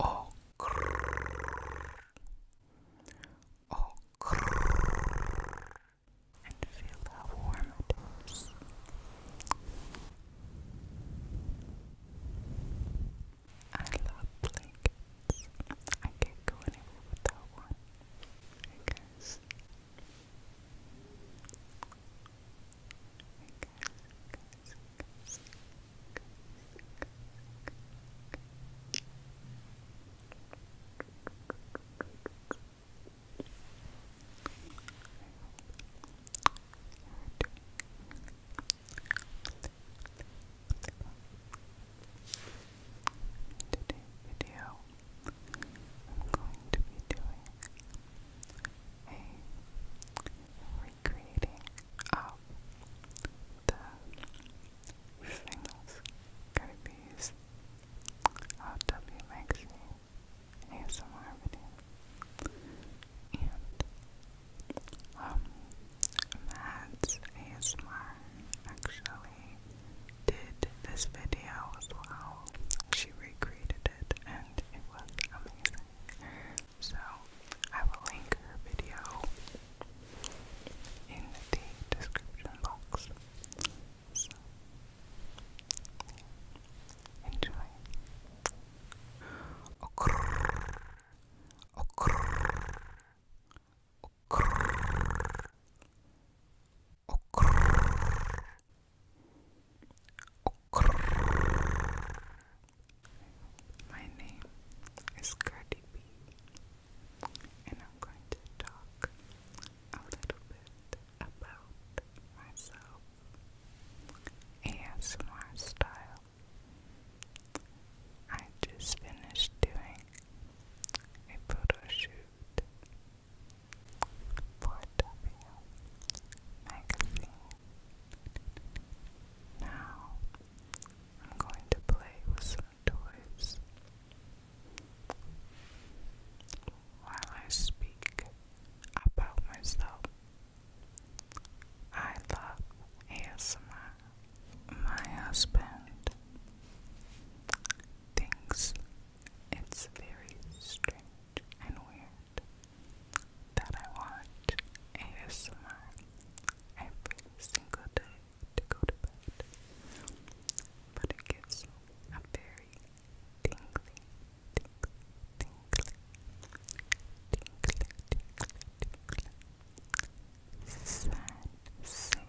Oh, and feel how warm I love blankets. I can't go anywhere without one. I guess video, I'm going to be doing a recreating of the singles could be of video and um Mads ASMR actually did this video as well. She recreated it and it was amazing. So I will link her video in the description box. So enjoy. My name is Cardi B, and I'm going to talk a little bit about myself, ASMR style. I just finished doing a photo shoot for W Magazine. Now I'm going to play with some toys while I speak about myself. I love ASMR. My husband thinks it's very strange and weird that I watch ASMR every single day to go to bed, but it gives a very tingly, tingly, tingly, tingly, tingly, tingly sensation, sensation.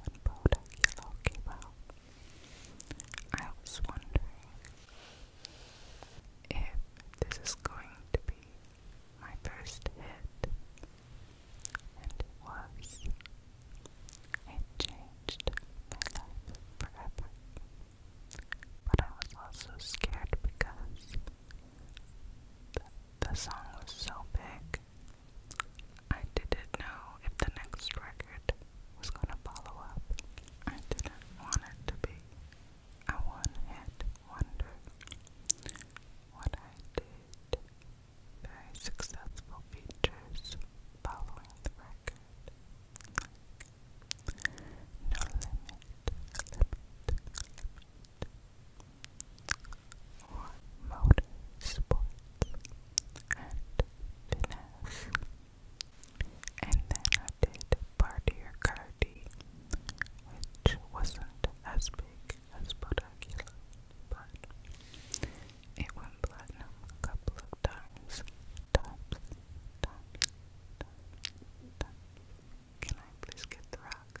What product you're talking I was wondering if this is going to be my first hit, and it was. and changed my life forever. But I was also scared because the song was so big I didn't know if the next record was going to follow up. I didn't want it to be a one hit wonder. What I did, very successful features following the record. no limit, or motor sports and finesse. And then I did party or cardi, which wasn't as big as Bodacula, but it went platinum a couple of times. Times, times, times, times. Can I please get the rock?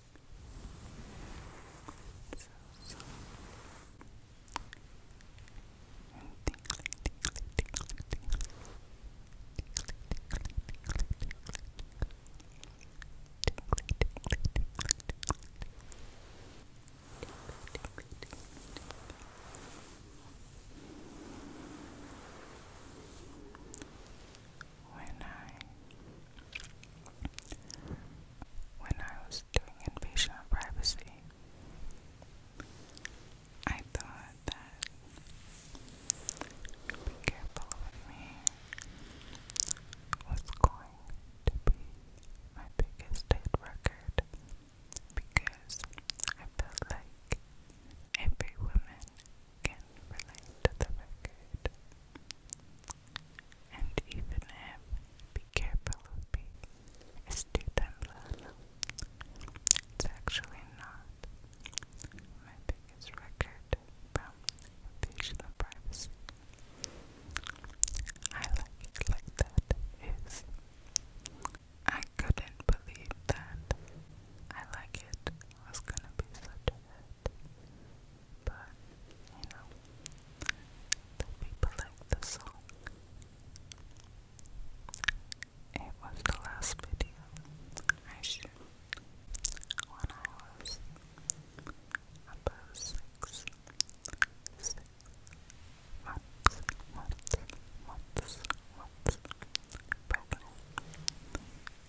So soft. And tingly, tingly, tingly, tingly. Tingly, tingly, tingly, tingly. Tingly, tingly, tingly, tingly. Tingly, tingly, tingly, tingly when I when I was doing invasion of privacy, I thought that be careful with me was going to be my biggest hit record because I felt like every can relate to the record. And even him, be careful of me, is Titanblano. It's actually not my biggest record from Invasion of I like it like that is. I couldn't believe that. I like it was gonna be such a But, you know, the people like the song. It was the last video I shoot when I was about six, six months, months, months, months pregnant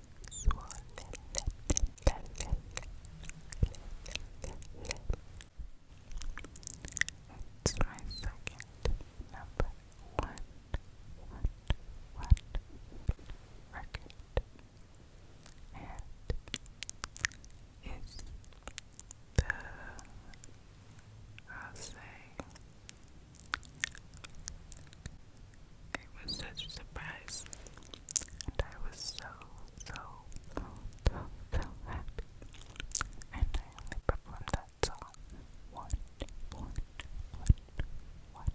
it's my number one, one, one record, and it's the I'll say it was such a surprise. And I was so, so, so, so, happy. And I only performed that song one, one, one, one,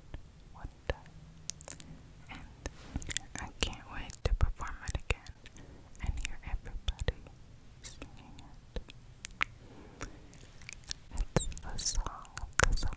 one time. And I can't wait to perform it again and hear everybody singing it. It's the song, the song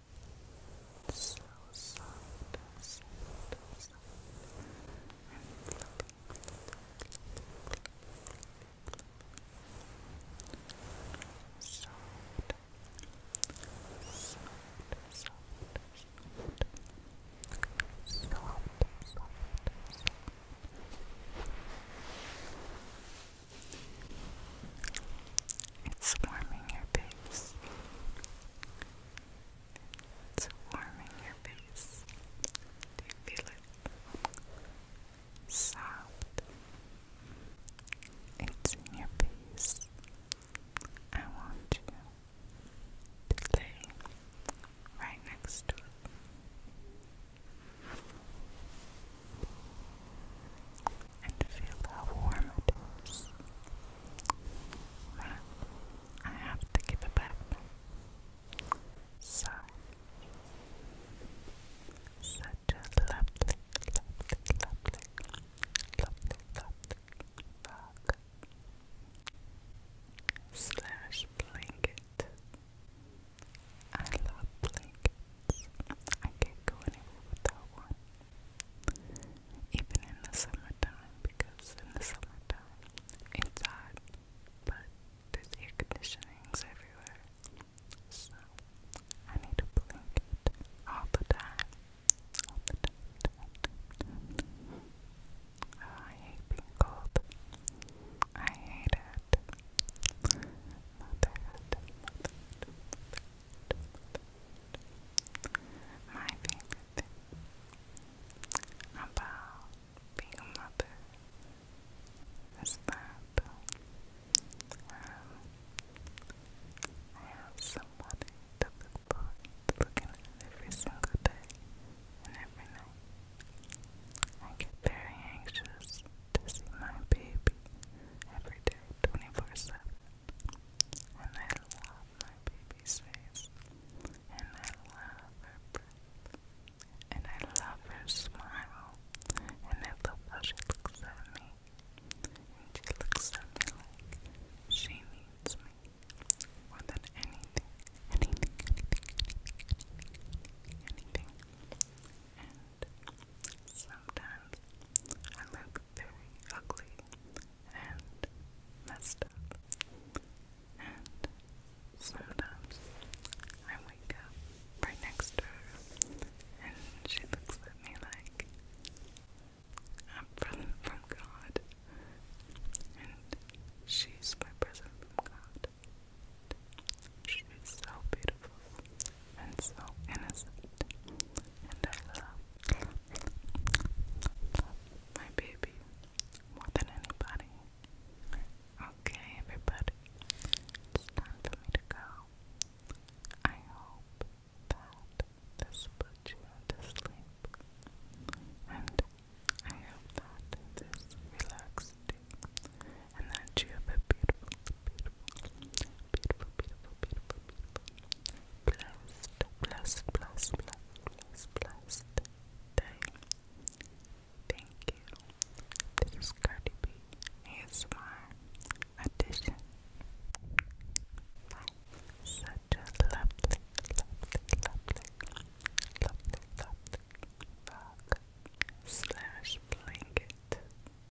It's so soft, soft, soft, and fluffy. Soft, soft, soft, soft, soft, soft, soft. It's warming your face. It's warming your face. Do you feel it? Soft. It's in your face. I want you to lay right next to it and feel how warm it is. I have to give it back. So, such a lovely, lovely, lovely, lovely, lovely bug slash blanket. I love blanket. I can't go anywhere without one. Even in the summertime, because in the summertime it's but there's air conditionings everywhere. So I need a blanket all the time. I hate being cold. I hate it. Motherhood, motherhood, my favorite thing about being a mother is that um, I have somebody to look forward to looking at every single day and every night. I get very anxious to see my baby every day, 24 7. And I love my baby's face. And I love her breath. And I love her smile. And I love she looks at me. she looks at me like she needs me. More than Anything, anything, anything, anything. And sometimes I look very ugly and messed up. And sometimes I wake up right next to her and she looks at me like I'm present from God and she's my present from God. She's so beautiful and so innocent. And I love, my baby more than anybody. Okay, everybody, it's time for me to go. I hope that this put you to sleep, and I hope that this relaxed you, and that you have a beautiful, beautiful, beautiful, beautiful, beautiful, beautiful. Blessed, blessed, blessed, blessed, blessed day. Thank you. This is Cardi B ASMR edition. Such a lovely, lovely, lovely, lovely, lovely rug slash blanket